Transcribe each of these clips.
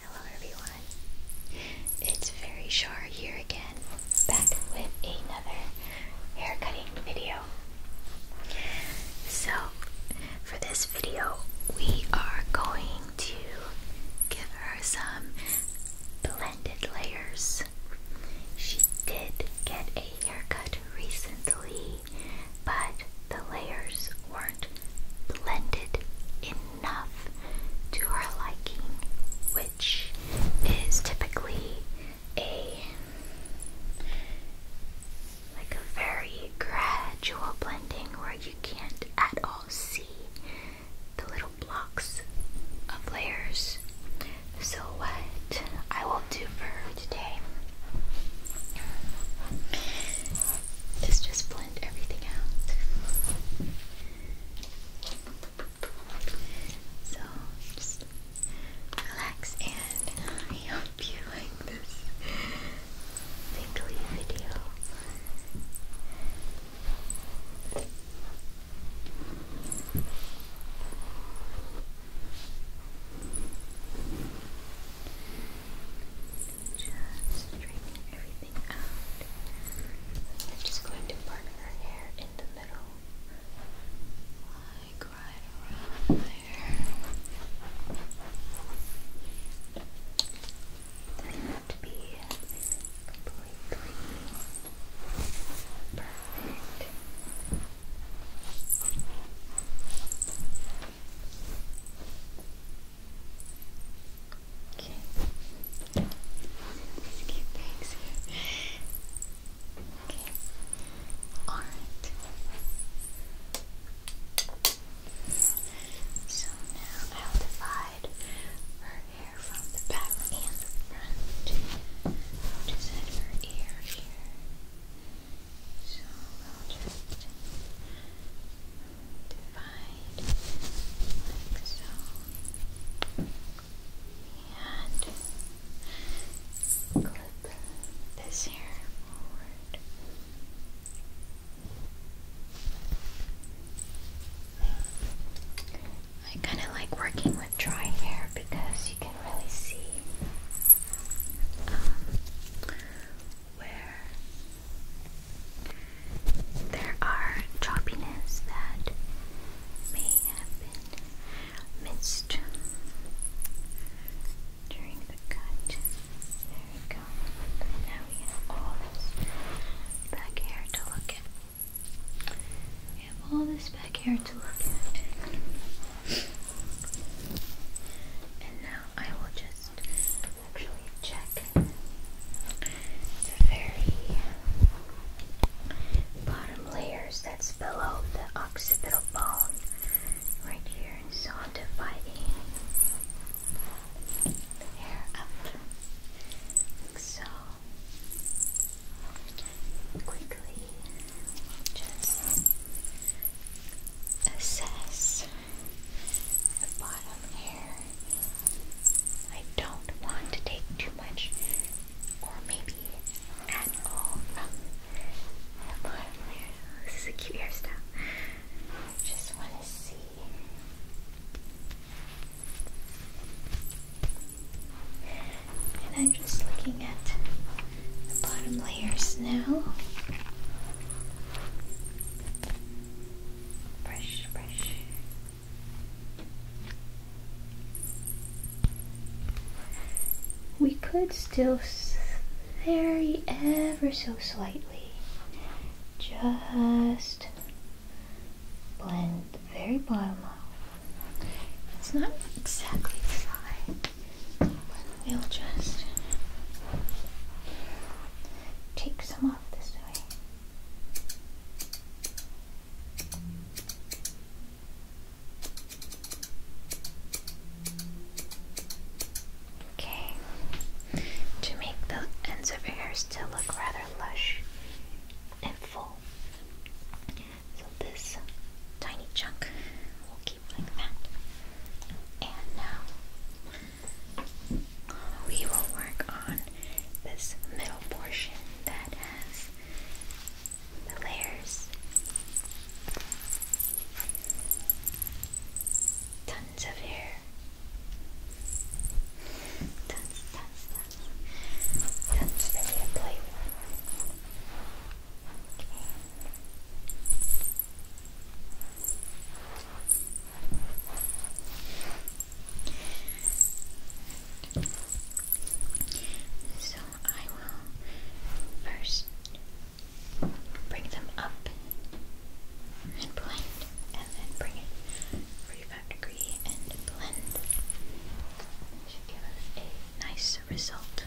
Hello everyone, it's Fairy Shar here again, back with another hair cutting video. So, for this video, we are going to give her some blended layers she did get a haircut recently, but the layers weren't blended enough to her liking, which is typically a like a very gradual blending where you can't at all see the little blocks of layers. So, what I will do for today is just blend everything out. So, just relax, and I you like this tingly video. Just straightening everything out. I'm just going to part her hair in the middle, like right around there. to be completely Perfect. Okay. These cute Okay. All right. So now I'll divide her hair from the back and front, just at her ear here. So we'll just divide like so. And clip this hair forward. I kind of like working with dry hair because you can really see um, where there are choppiness that may have been missed during the cut. There we go. Now we have all this back hair to look at. We have all this back here to look at. And now I will just actually check the very bottom layers that's below the occipital bone right here. So i dividing hair up like so quickly just assess the bottom here. I don't want to take too much, or maybe at all, from the bottom layer. This is a cute hairstyle. I just want to see. And I'm just looking at the bottom layers now. Brush, brush. We could still vary ever so slightly. Just blend the very bottom off. It's not exactly dry, but we'll just take some off this way. Okay, to make the ends of your still look rather lush and full, so this tiny chunk will keep like that. And now we will work on this middle portion that has the layers. Tons of hair. Tons, tons, tons. That's ready to So I will first bring them up and and then bring it 35 degree and blend. That should give us a nice result.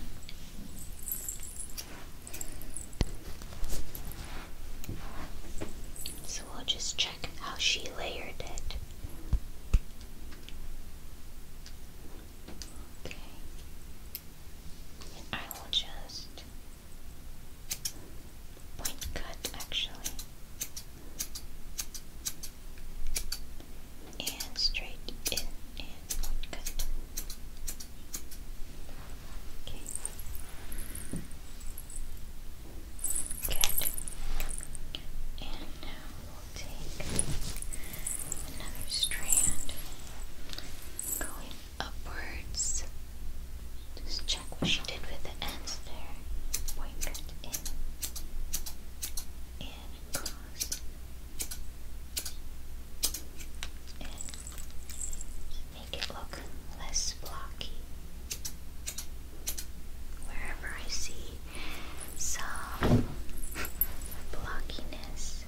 So we'll just check how she layered it. Okay. And I will just point cut actually and straight in and Okay. Good. And now we'll take another strand going upwards. Just check what she did with the ends there. Point in and clasp and make it look less blocky. Wherever I see some blockiness.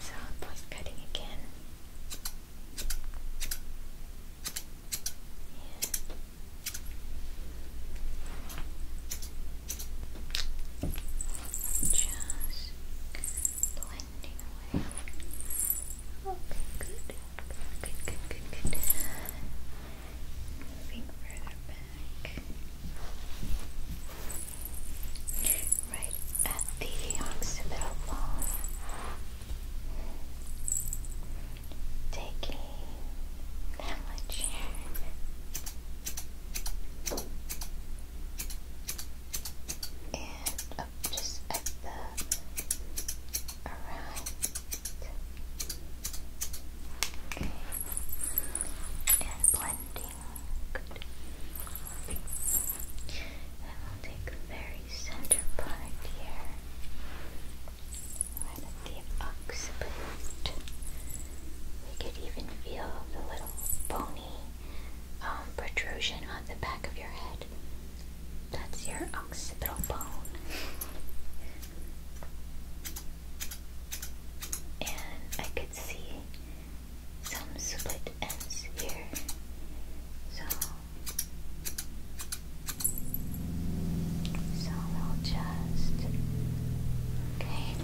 So I'm voice cutting again. And just blending away. Okay, good. Good, good, good, good. Moving further back right at the occipital bone, taking that much and just at the around. Okay. And blending and we'll take the very center part here. Right at the occiput. We could even feel the little bony protrusion on the back of your head. That's your occipital bone. And I could see some split ends here. So, so we'll just okay.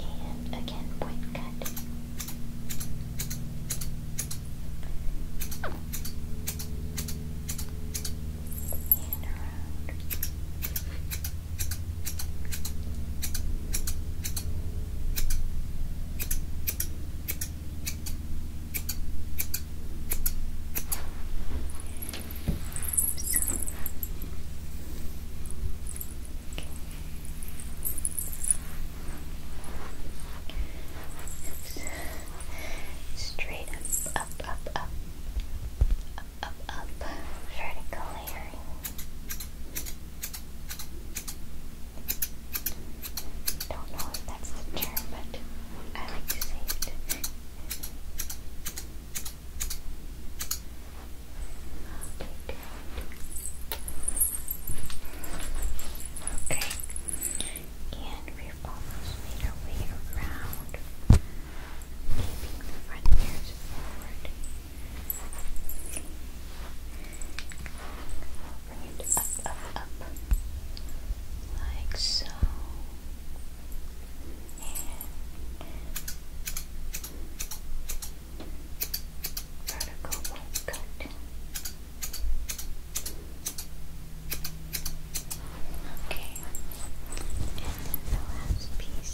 And again, point cut. And around. Straight up, up, up, up, up, up, up, vertical layering. Don't know if that's the term, but I like to say it. Okay, and we've almost made our way around keeping the front ears forward. Bring it up, up, up, like so. vertical white cut. Okay, and then the last piece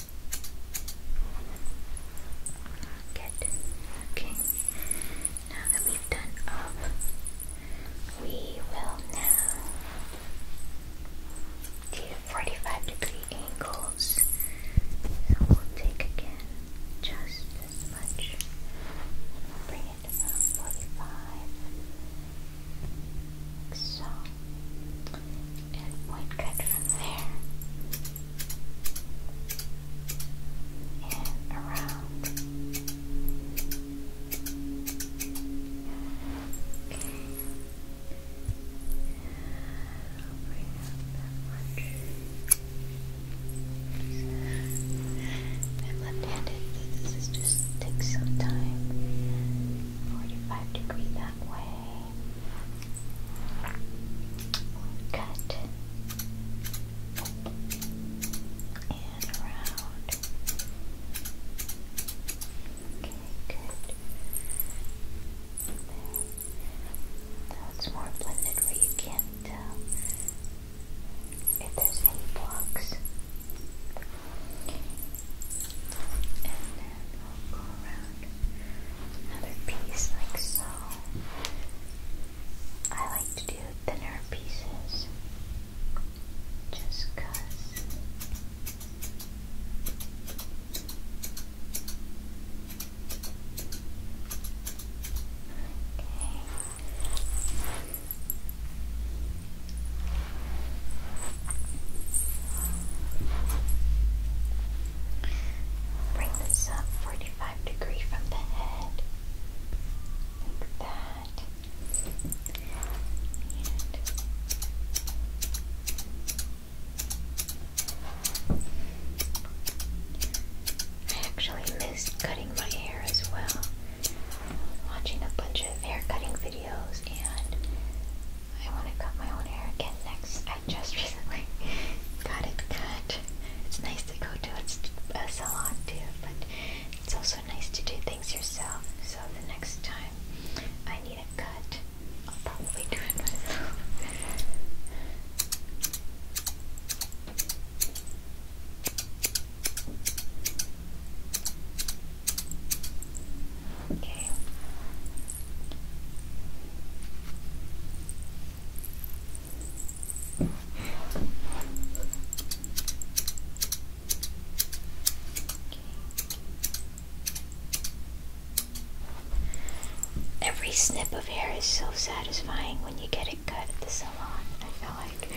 Good. Okay. Now that we've done up, we will now do 45 degree angles. we'll take again just this much. bring it about 45. so. And point cut from there and around. I'm left-handed, this is just takes some time. Forty-five degree that way we cut and around. Okay, good. There. more blended where you can't tell if there's any blocks. And then we'll another piece like so. I like to do thinner pieces just Bring this up 45 degree from the head. Like that. I actually miss cutting my hair as well. watching a bunch of hair cutting videos and I want to cut my own hair again next just recently got it cut. It's nice to go to a salon too, but it's also nice to do things yourself. So the next time I need a cut, I'll probably do it myself. Okay. Every snip of hair is so satisfying when you get it cut at the salon. I feel like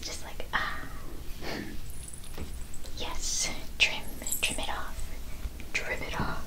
just like ah yes, trim, trim it off, trim it off.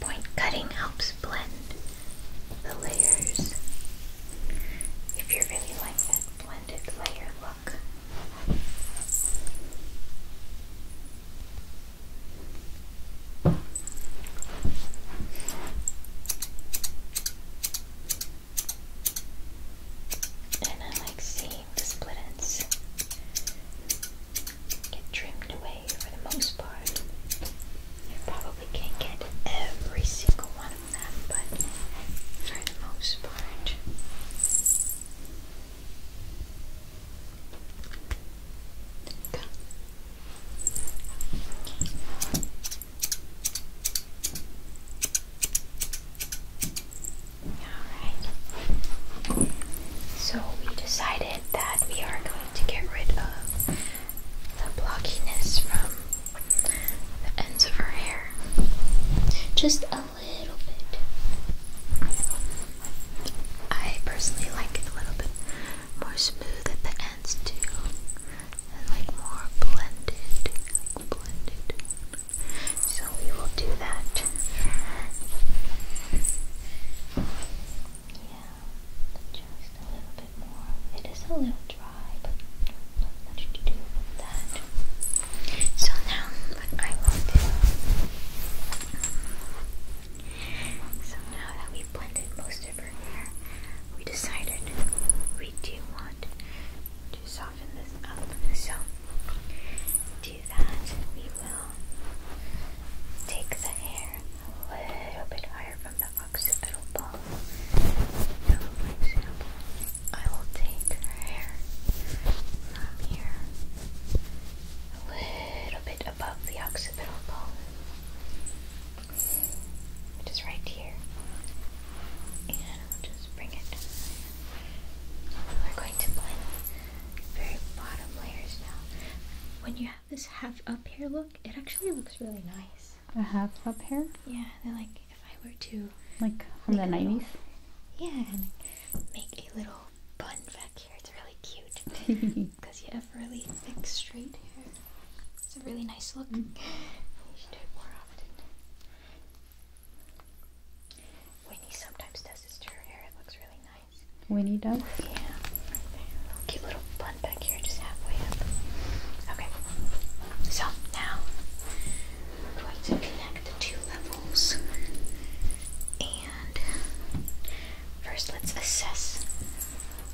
Point cutting helps blend the layers. If you are really like that blended layer look. And I like seeing the split get trimmed away for the most part. You probably can't get every single one of them, but for the most part, Okay. Alright. So we decided that we are going to get rid of the blockiness from the ends of her hair. Just a little bit. I personally like it a little bit more smooth at the ends too, and like more blended, blended. So we will do that. Yeah, just a little bit more. It is a little dry, but not much to do with that. So now what I will do. So now that we blended most of her hair, we decided we do want to soften this up. So to that we will take the hair a little bit higher from the occipital bone. So for example, I will take her hair from here a little bit above the occipital bone, which is right here. And we'll just bring it We're going to blend the very bottom layers now. When you have this half up hair look, it actually looks really nice. A half up hair? Yeah, they're like if I were to. Like from the 90s? Yeah, make a little bun back here. It's really cute because you have really thick straight hair. It's a really nice look. Mm. should do it more often. Winnie sometimes does this to her hair. It looks really nice. Winnie does? Yeah. Cute little bun back here, just halfway up. Okay. So now we're to connect the two levels first, let's assess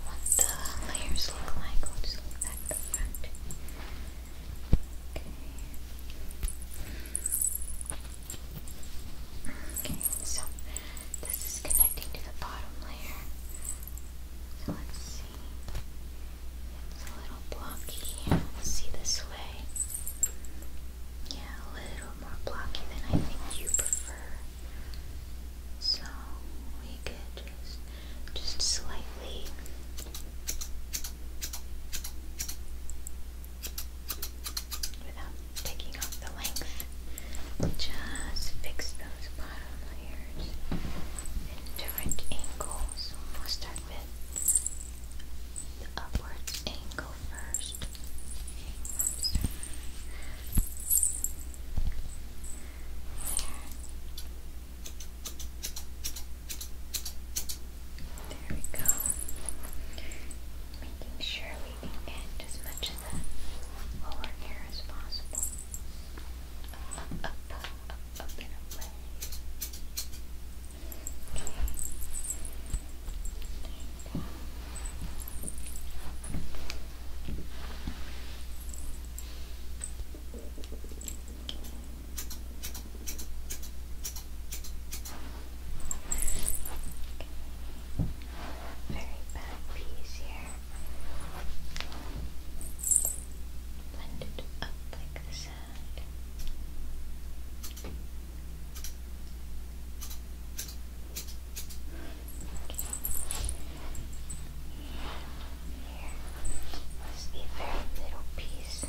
what the layers look like. We'll just at the front. Okay, so this is connecting to the bottom layer. So let's see. It's a little blocky. Let's see this way yeah, a little more blocky than I think you prefer. So we could just just slightly without taking off the length. Just fix those bottom layers and different angles, with the upwards angle first. There. There we go. Making sure we get as much of the lower hair as possible. up, up, up, up and away. Very bad piece here. Blend it up like this. Just a very little piece. Okay. Uh,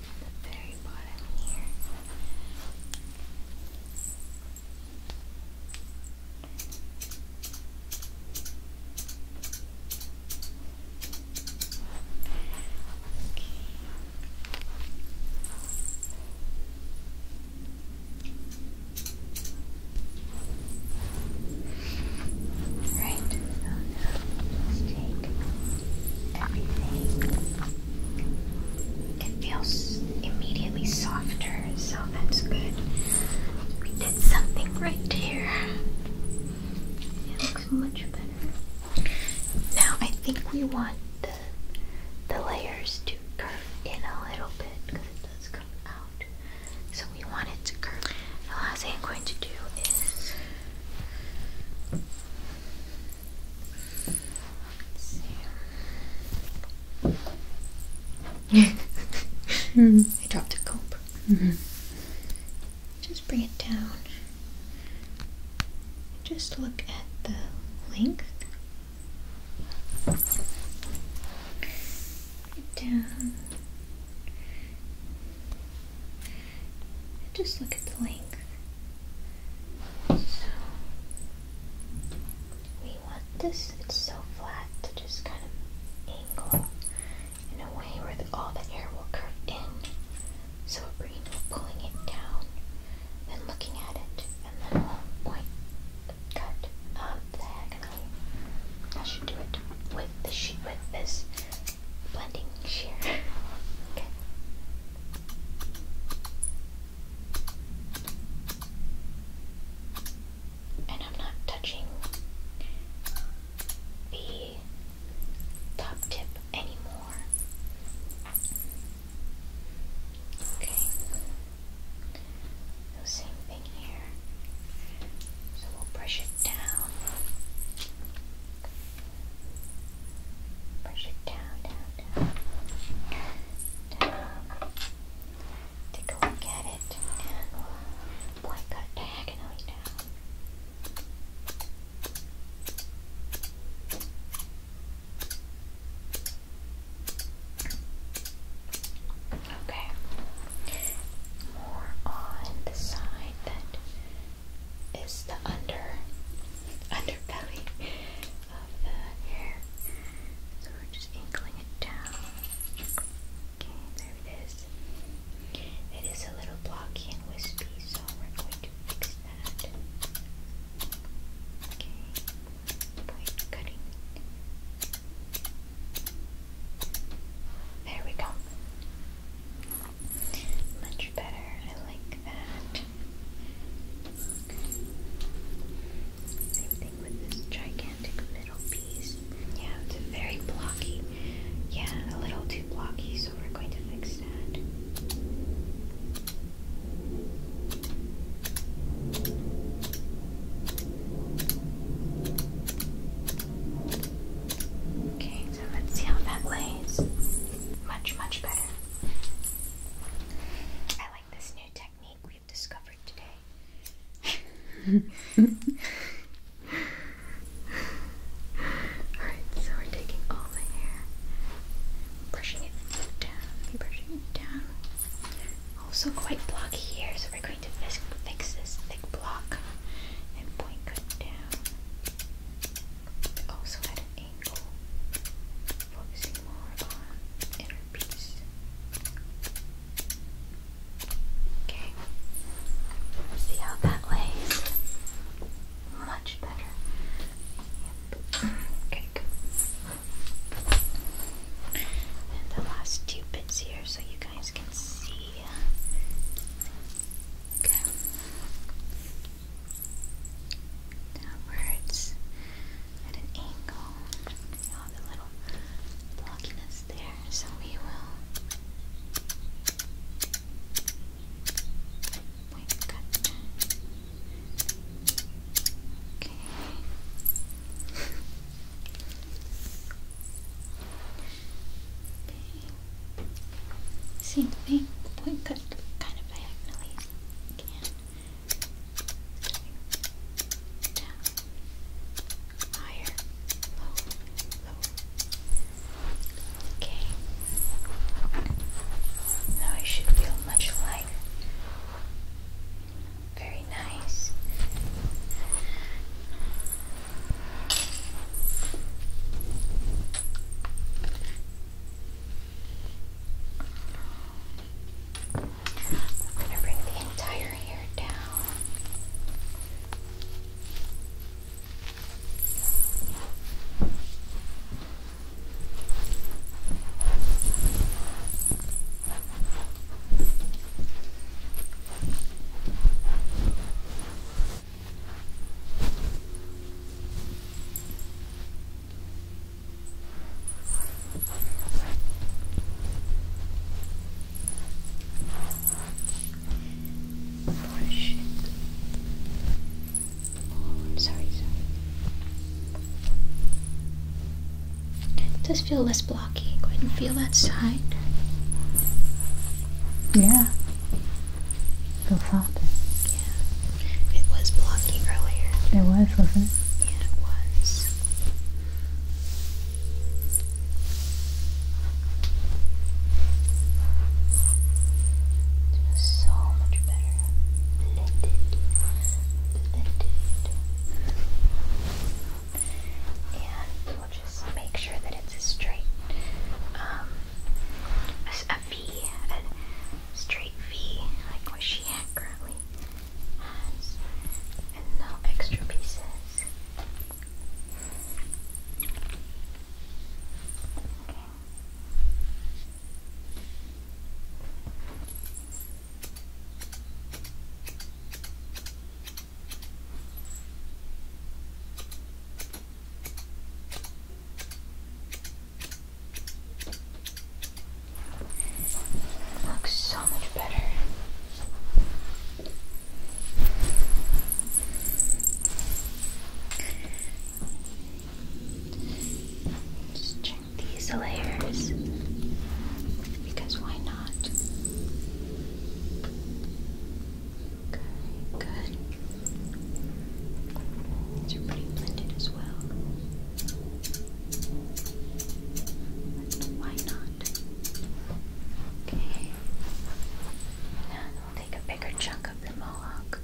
the very Right, let's take everything it feels immediately softer, so that's good. We did something right here. It looks much better. Now I think we want the the layers to curve in a little bit because it does come out. So we want it to curve. The last thing I'm going to do is mm. I dropped a cope. Mm-hmm. Just bring it down. Just look at the length. Down. And just look at the length. So we want this, it's so flat, to just kind of angle in a way where all the air will curve in. So we're pulling it down, then looking at it, and then we'll point, cut um, diagonally. I should do it with the sheet with this blending shear. And I'm not touching the top tip anymore. Okay. The same thing here. So we'll brush it down. Push it down, down, down. Down. Take a look at it and diagonally down. Okay. More on the side that is the under underbelly of the hair. So we're just inkling it down. there it is. It is a little blocky and wispy, so we're going to fix that. Okay, point cutting. There we go. Much better. I like that. Same thing with this gigantic middle piece. Yeah, it's very blocky. Yeah, a little too blocky, so we're going to fix that. Okay. So let's see how that lays. Much, much better. I like this new technique we've discovered today. Alright, so we're taking all the hair, brushing it down, brushing it down. Also quite blocky here, so we're going to fix, fix this thick block and point it down also at an angle, focusing more on inner peace. Okay, see how that lays? Much better. Yep. Okay, the last two bits here so you guys can see. Okay downwards at an angle. You know, the little blockiness there, so we will wait, cut. Okay. Okay. Same thing. Point cut kind of diagonally. down. Higher. Low. Low. Okay. Now I should feel much lighter. Very nice. I'm going to bring the entire hair down. Okay. Oh shit. Oh, I'm sorry, does feel less blocky. Go ahead and feel that side. Yeah. So soft. Yeah. It was blocky earlier. It was, wasn't it? Yeah, it was. so much better. Blended. Blended. And we'll just make sure that it's straight. Um, a V, a straight V, like what she currently has, and no extra pieces. Looks so much better. Just check these layers because why not? Okay, good. These are pretty blended as well. Why not? Okay. Now we'll take a bigger chunk of the mohawk.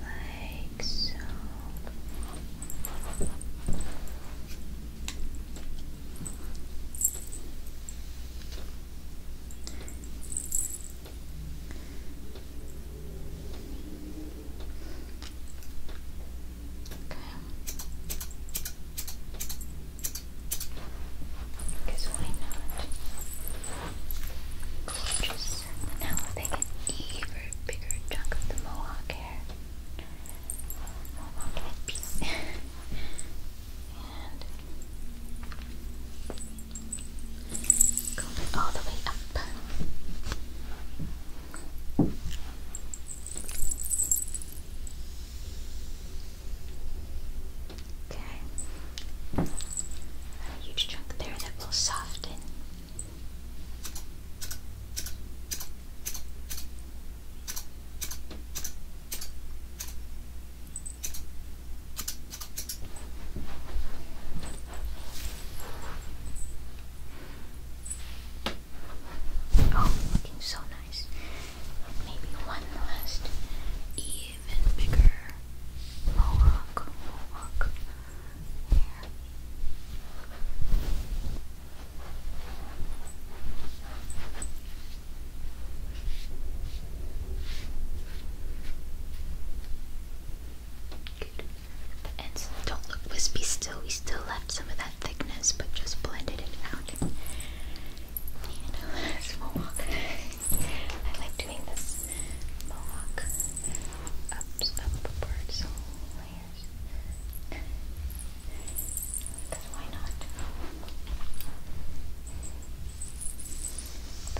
Like so. Because why not? Gorgeous. Now we'll take even bigger chunk of the mohawk hair. Mohawk headpiece. and all the way up. Okay, a huge chunk there that will soften. Oh, looking so nice. Maybe one last, even bigger mohawk, mohawk here. Good. The ends don't look wispy still. We still left some of that thickness, but just blended it out. And last mohawk. I like doing this mohawk up, upward, so layers. Because why not?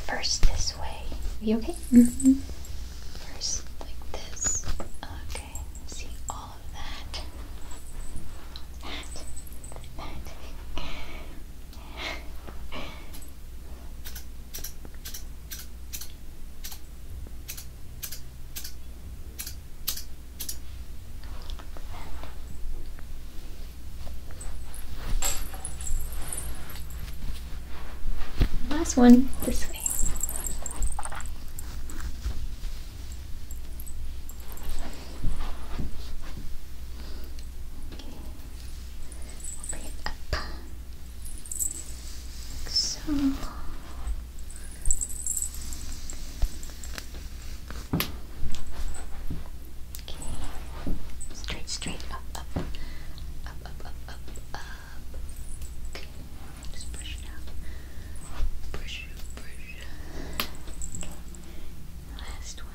First this way. You okay? Mm-hmm. First like this. Okay. See all of that. That. That. That. Last one this way. bring it up like so. Straight, straight, up, up. Up, up, up, up, up. Just push it out. Push, push. Okay. Last one.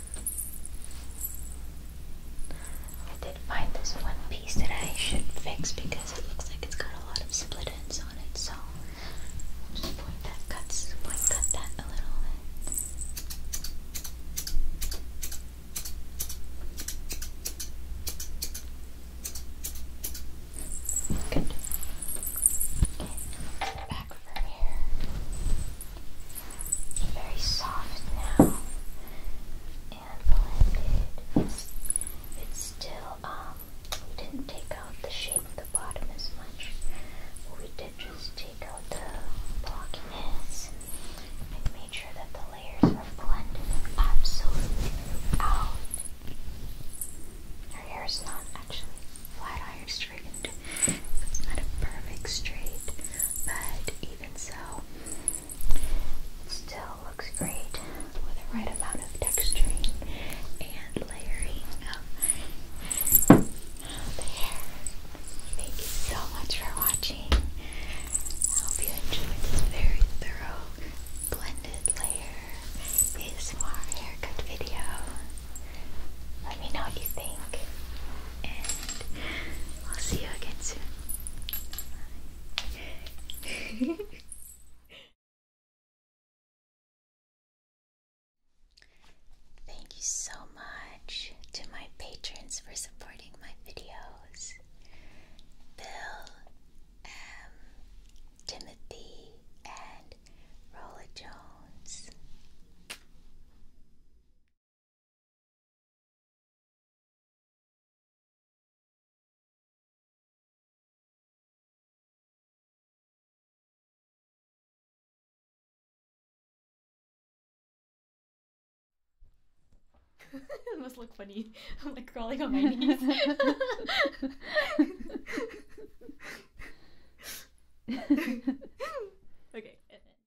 I did find this one piece that I should fix because it looks like it's got a lot of split ends on it, so just point that cut that a little Good. Okay, back from here very soft now and blended. It's, it's still, um, we didn't take out the shape of the bottom as much. We did just take out the blockiness and made sure that the layers were blended absolutely out. Her hair is not actually flat iron straightened. It's not a perfect straight, but even so, it still looks great with the right amount of texture and layering of the hair. Thank you so much for watching. I hope you enjoyed this very thorough blended layer ASMR haircut video. Let me know what you think and I'll see you again soon. Thank you so much to my patrons for supporting my videos. Bill, M, Timothy, and Rolla Jones it must look funny. I'm like crawling on my knees. okay.